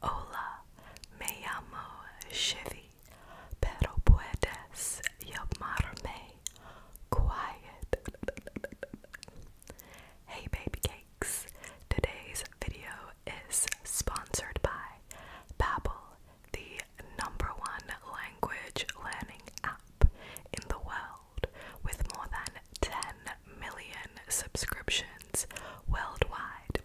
Hola, me llamo Chevy, pero puedes llamarme Quiet. Hey baby cakes, today's video is sponsored by Babbel, the number one language learning app in the world with more than 10 million subscriptions worldwide,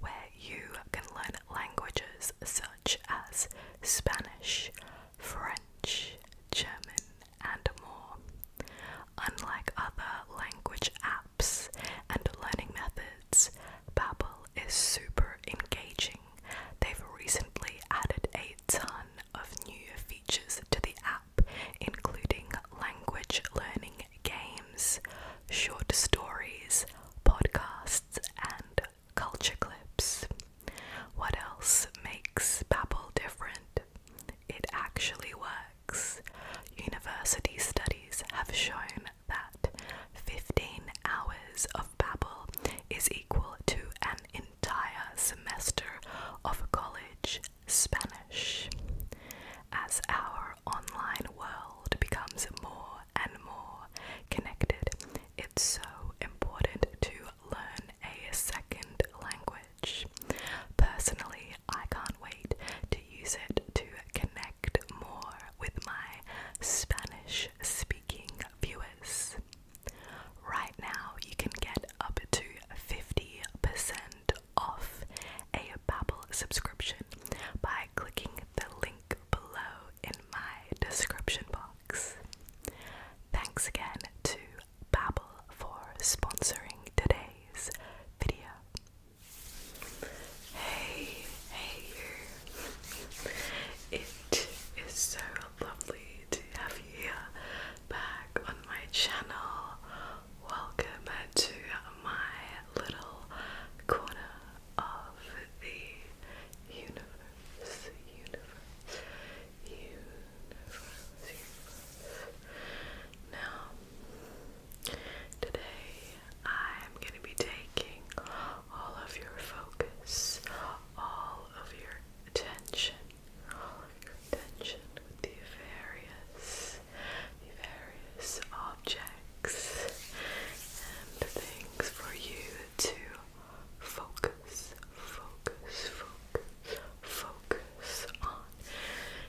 where you can learn languages such as Spanish, French, German, and more. Unlike other language apps and learning methods, Babbel is super engaging. They've recently added a ton of new features to the app including language learning games, short stories, podcasts, and culture clips. What else makes Babbel different? It actually works. University studies have shown that 15 hours of Babbel is equal to an entire semester of college Spanish. As our online world becomes more and more connected, it's so important to learn a second language. Personally, I can't wait to use it to connect more with my Spanish speaking viewers. Right now, you can get up to 50% off a Babbel subscription by clicking the link below in my description box. Thanks again to Babbel for sponsoring today's video. Hey, hey you. It is so lovely to have you back on my channel Welcome to my little corner of the universe, universe, universe, Now, today I'm going to be taking all of your focus, all of your attention, all of your attention with the various, various objects and things for you to focus, focus, focus, focus on.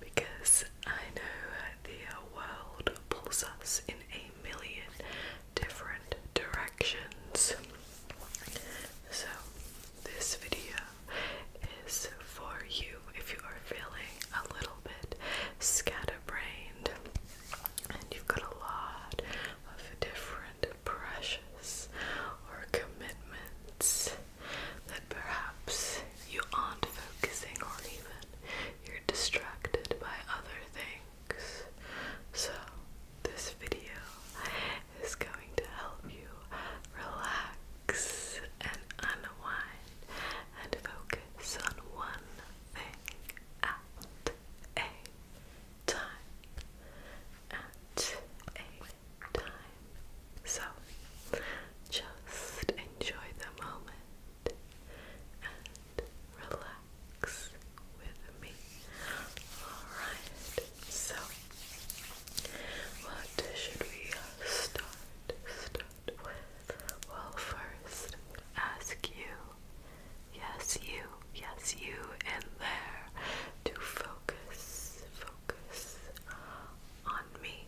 Because I know the world pulls us in a million different directions. So, this video is for you if you are feeling a little bit scatterbrained and you've got a lot of different precious or commitments that perhaps you aren't focusing on even you're distracted by other things so this video is going to help you relax and unwind and focus on one thing at a time. At a time. So just enjoy the moment and relax with me. Alright, so what should we Start well, first, ask you, yes, you, yes, you in there, to focus, focus on me,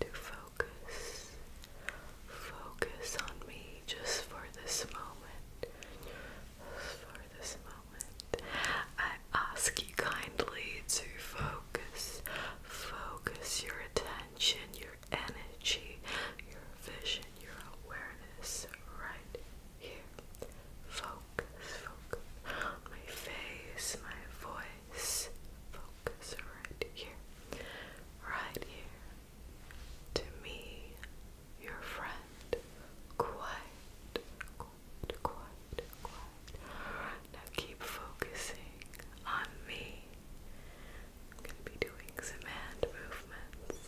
to focus, focus on me just for this moment. For this moment, I ask kindly to focus, focus your attention, your energy, your vision, your awareness right here. Focus, focus my face, my voice. Focus right here, right here. To me, your friend, quiet. Now keep focusing on me. I'm going to be doing some hand movements,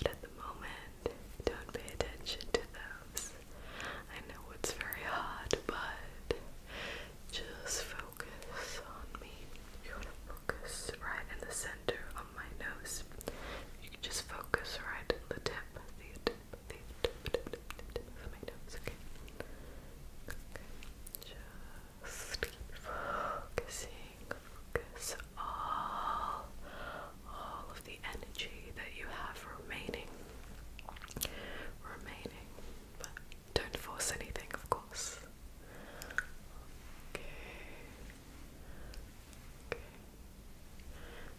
but at the moment, don't pay attention to those. I know it's very hard, but just focus on me. You want to focus right in the center on my nose. You can just focus right at the tip, the tip, the tip, tip, tip, tip, keep focusing, focus all, all of the energy that you have remaining, remaining, don't force anything, of course. Okay. Okay.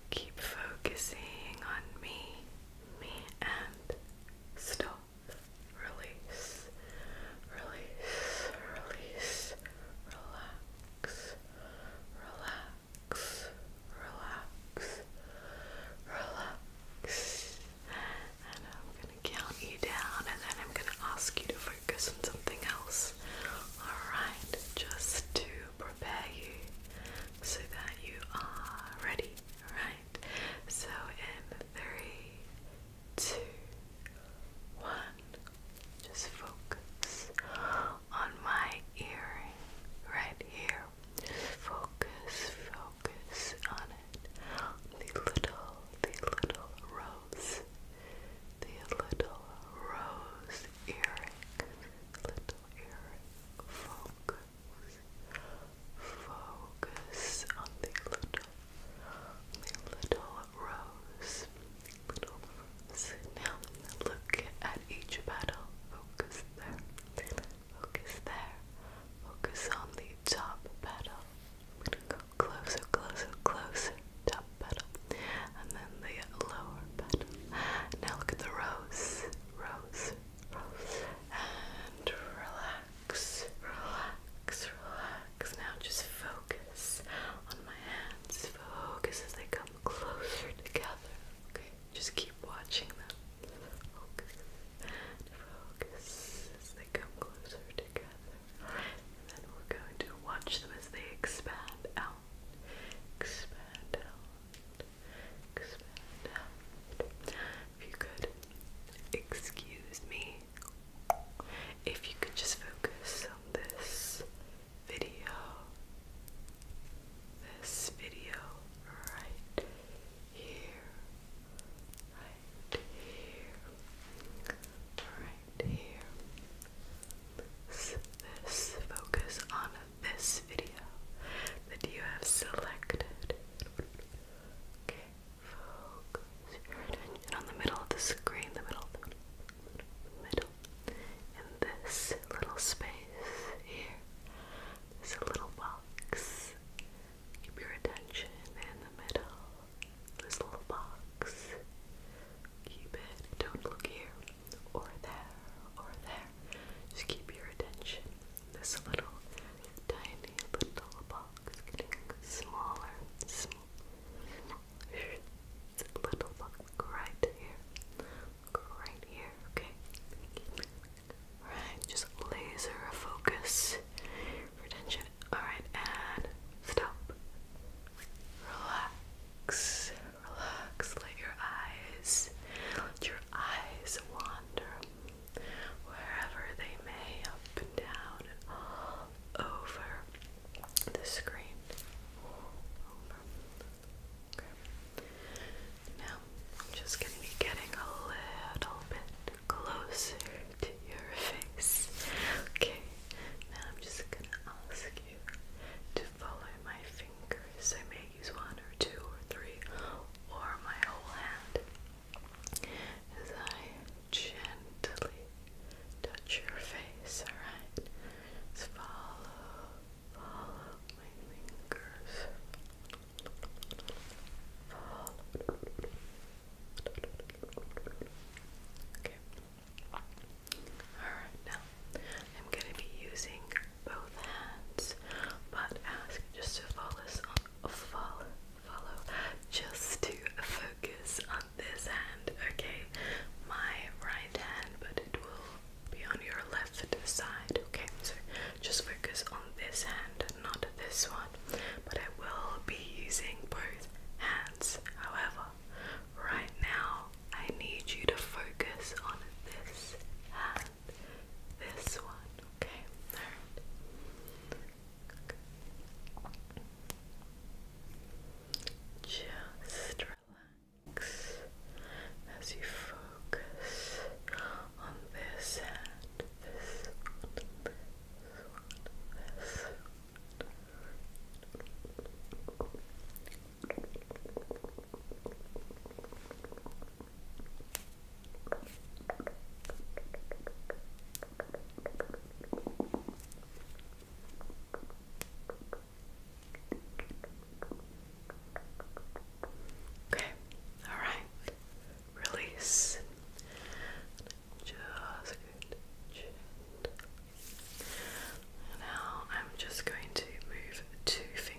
Keep focusing on me, me, and stop release, release, release, relax, relax, relax, relax. And I'm gonna count you down and then I'm gonna ask you to focus on something else. Alright, just to prepare you so that you are ready, right? So in three, two, one, just focus on my earring right here. Focus, focus on it. The little, the little rose. The little rose earring. Little earring. Focus. Focus on the little, the little rose, little rose. Now look at each petal. Focus there. Focus there. Focus on the top petal. I'm going Top petal, and then the lower petal. Now look at the rose, rose, and relax, relax, relax. Now just focus on my hands. Focus as they come closer together. Okay, just keep watching them. Focus, focus as they come closer together. And then we're going to watch them as they expand out, expand out expand out. If you could excuse me, if you could just focus on this video, this video right here, right here, right here. This, this focus on this video that you have selected Okay, on the middle of the screen, the middle, middle, the this little space here, this little box. Keep your attention in the middle. This little box. Keep it. Don't look here or there or there. Just keep your attention this little tiny little box getting smaller, smaller. Little box right here, right here. Okay, right. Just laser focus, retention. All right, and stop. Relax, relax. Let your eyes, let your eyes wander wherever they may, up and down and all over the screen. Now, I'm just going to be getting a little bit closer to your face. Okay, now I'm just going to ask you to follow my fingers. I may use one or two or three or my whole hand as I gently touch your face, alright? follow, follow my fingers. Okay. Alright, now I'm going to be using both hands, but ask just to follow follow follow just to focus on this hand, okay? My right hand, but it will be on your left side, okay? So just focus on this hand, not this one. But I will be using both hands. However, right now I need you to focus on this hand this one, okay? Just relax as you focus on this Okay, all right, release. Now I'm just going to move two fingers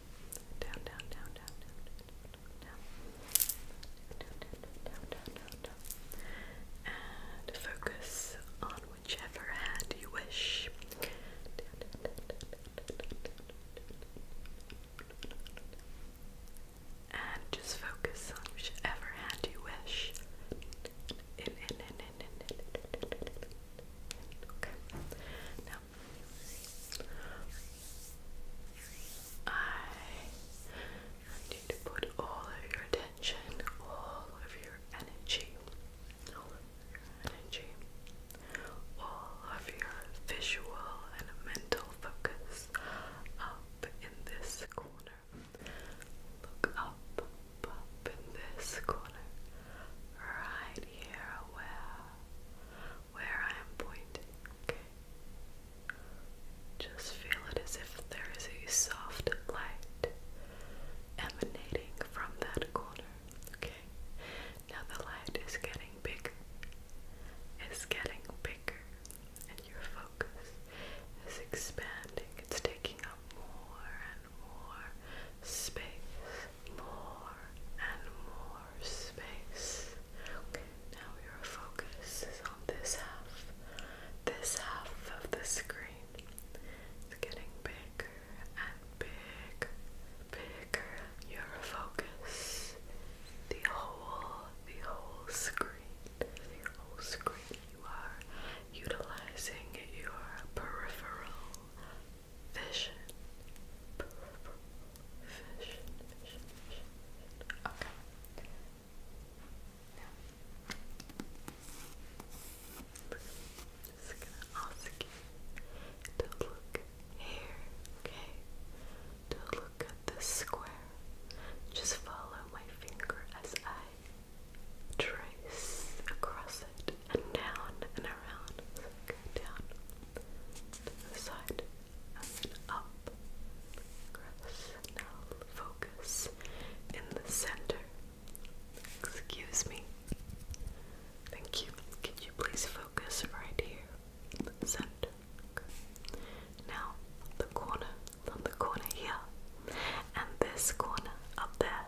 down, down, down, down, down, down, down, down, down, down, down, and focus on whichever hand you wish. And just focus on whichever hand you wish. Okay. Now I want you to put all of your attention, all of your energy, all of your visual and mental focus up in this corner. up, up in this corner, right here where where I am pointing, Just feel it as if there is a soft light emanating from that corner, okay? Now the light is getting bigger, it's getting bigger, and your focus is expanding, it's taking up more and more space more and more space. now your focus is on this half, this half of the screen. It's getting bigger and bigger, bigger. Your focus, the whole, the whole screen, the whole screen. You are utilizing your peripheral vision. Vision, vision, Okay. Now, just gonna ask you to look here, okay? To look at this square. Just follow my finger as I trace across it and down and around. down the side, and then up. now focus in the center. Excuse me. Thank you. Could you please focus right here? The center. Now the corner the corner here. And this corner up there.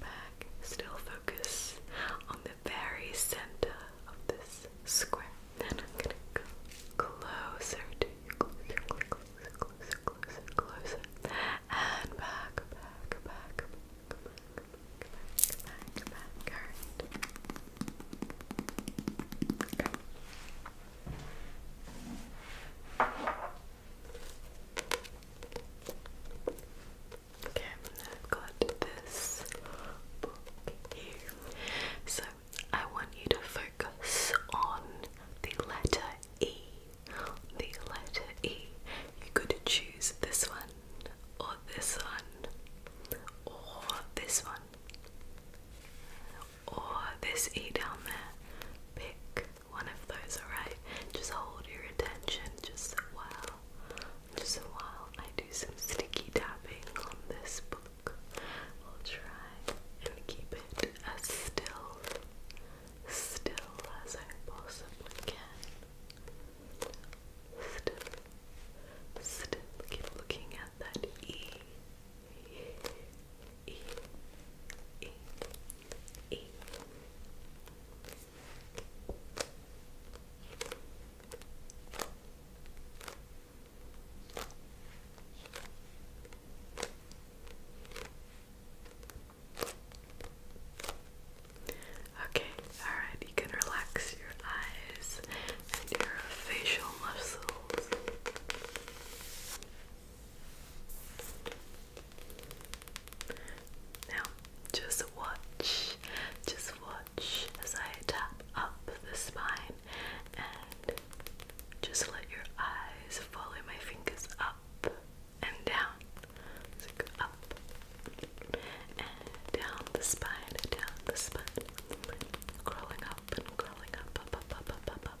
back, Still focus on the very center of this square. Then I'm gonna go closer to you, closer, closer, closer, closer, closer, and back, back, back, back, back, back, back, back. Alright. Okay. Okay, I've got this book here. So I want you to focus on the letter E. The letter E. You could choose this one, or this one, or this one, or this E down there. Pick one of those, alright? Just hold your attention just a while. Just a while. I do some sticky tapping on this book. We'll try and keep it as still, still as I possibly can. Still, still keep looking at that E. Okay, alright, you can relax your eyes and your facial muscles. Now, just watch, just watch as I tap up the spine and just let your eyes follow my fingers up and down. So go up and down the spine, down the spine, crawling up and crawling up, up, up, up, up, up, up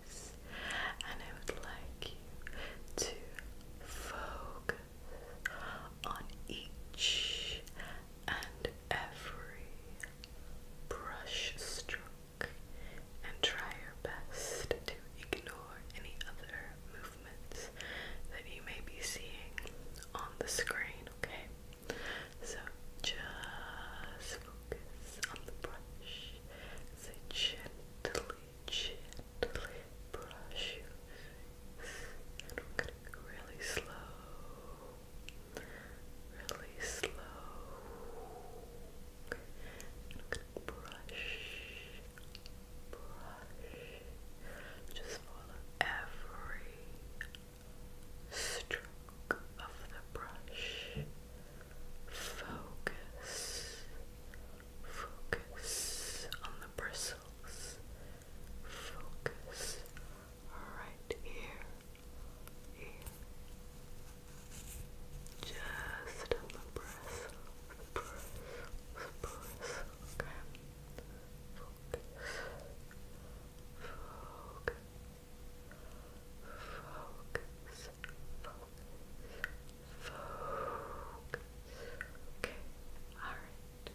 and I would like you to focus on each and every brush stroke and try your best to ignore any other movements that you may be seeing on the screen, okay? So just focus on the brush so gently, gently brush And we're gonna go really slow, really slow. brush, brush. Just follow every stroke of the brush. Brush, Focus. Focus on the bristles. Focus right here. Here. Just the bristles. Bristles. Bristles. Okay. Focus. Focus. Focus. Okay, alright.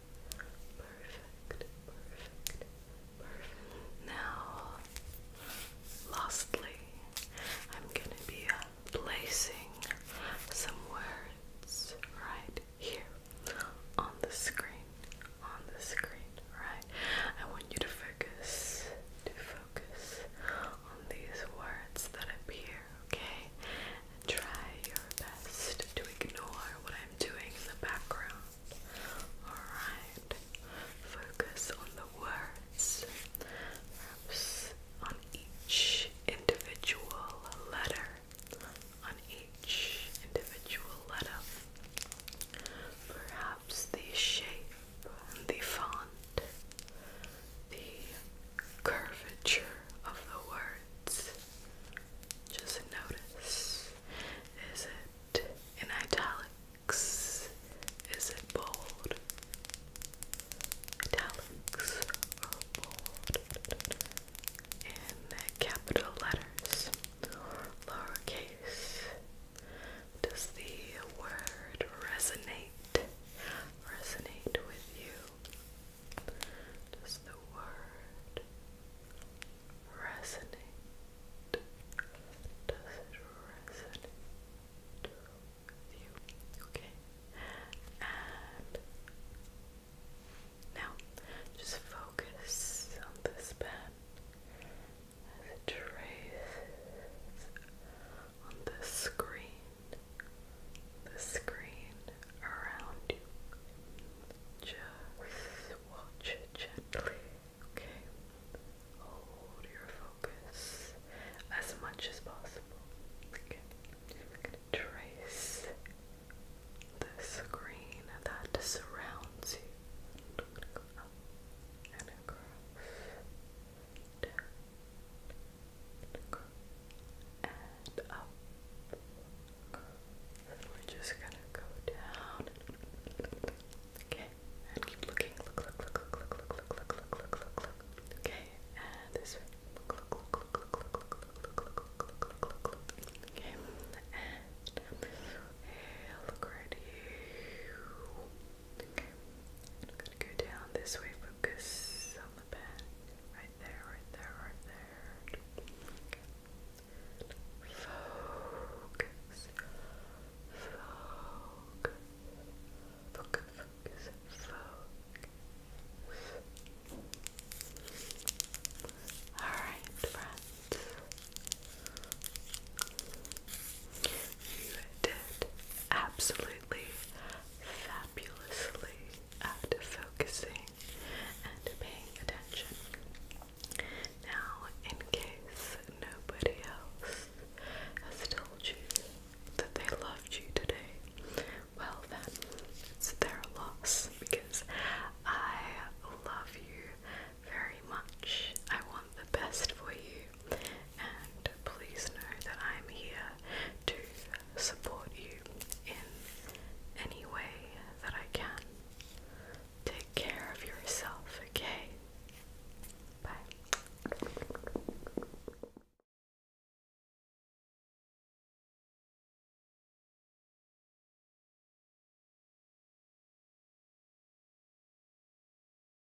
Perfect, perfect, perfect. Now, lastly, I'm gonna be placing some words right here on the screen. On the screen, right? I want you to focus, to focus on these words that appear, okay? try your best to ignore what I'm doing in the background. Alright, focus on the words, perhaps on each individual letter. On each individual letter, perhaps the shape the font, the curvature of the words. Just notice is it in italics? Is it bold? Italics are bold in capital letters or lowercase. Does the word resonate? Resonate with you? Does the word resonate? Does it resonate with you? Okay. And now just focus on this pen trace on the screen, the screen around you. Just watch gently, okay? Hold your focus as much as possible. Okay, trace the screen that surrounds you down, go, and up. Then we're just gonna go down. Okay, and keep looking. Look, look, look, look, look, look, look, look, look, look, look, look. Okay, and this way. Look, look, look, look, look, look, look, look, look, look, look, look, Okay, and Look right here. Okay, go down this way, focus on the pen. Right there, right there, right there. Focus. Focus. Focus, focus, focus. Alright, friends. You did absolutely fabulously at focusing and paying attention. Now, in case nobody else has told you that they loved you today, well then, it's their loss because I love you very much. I want the best for you, and please know that I'm here to support you in any way that I can. Take care of yourself, okay? Bye.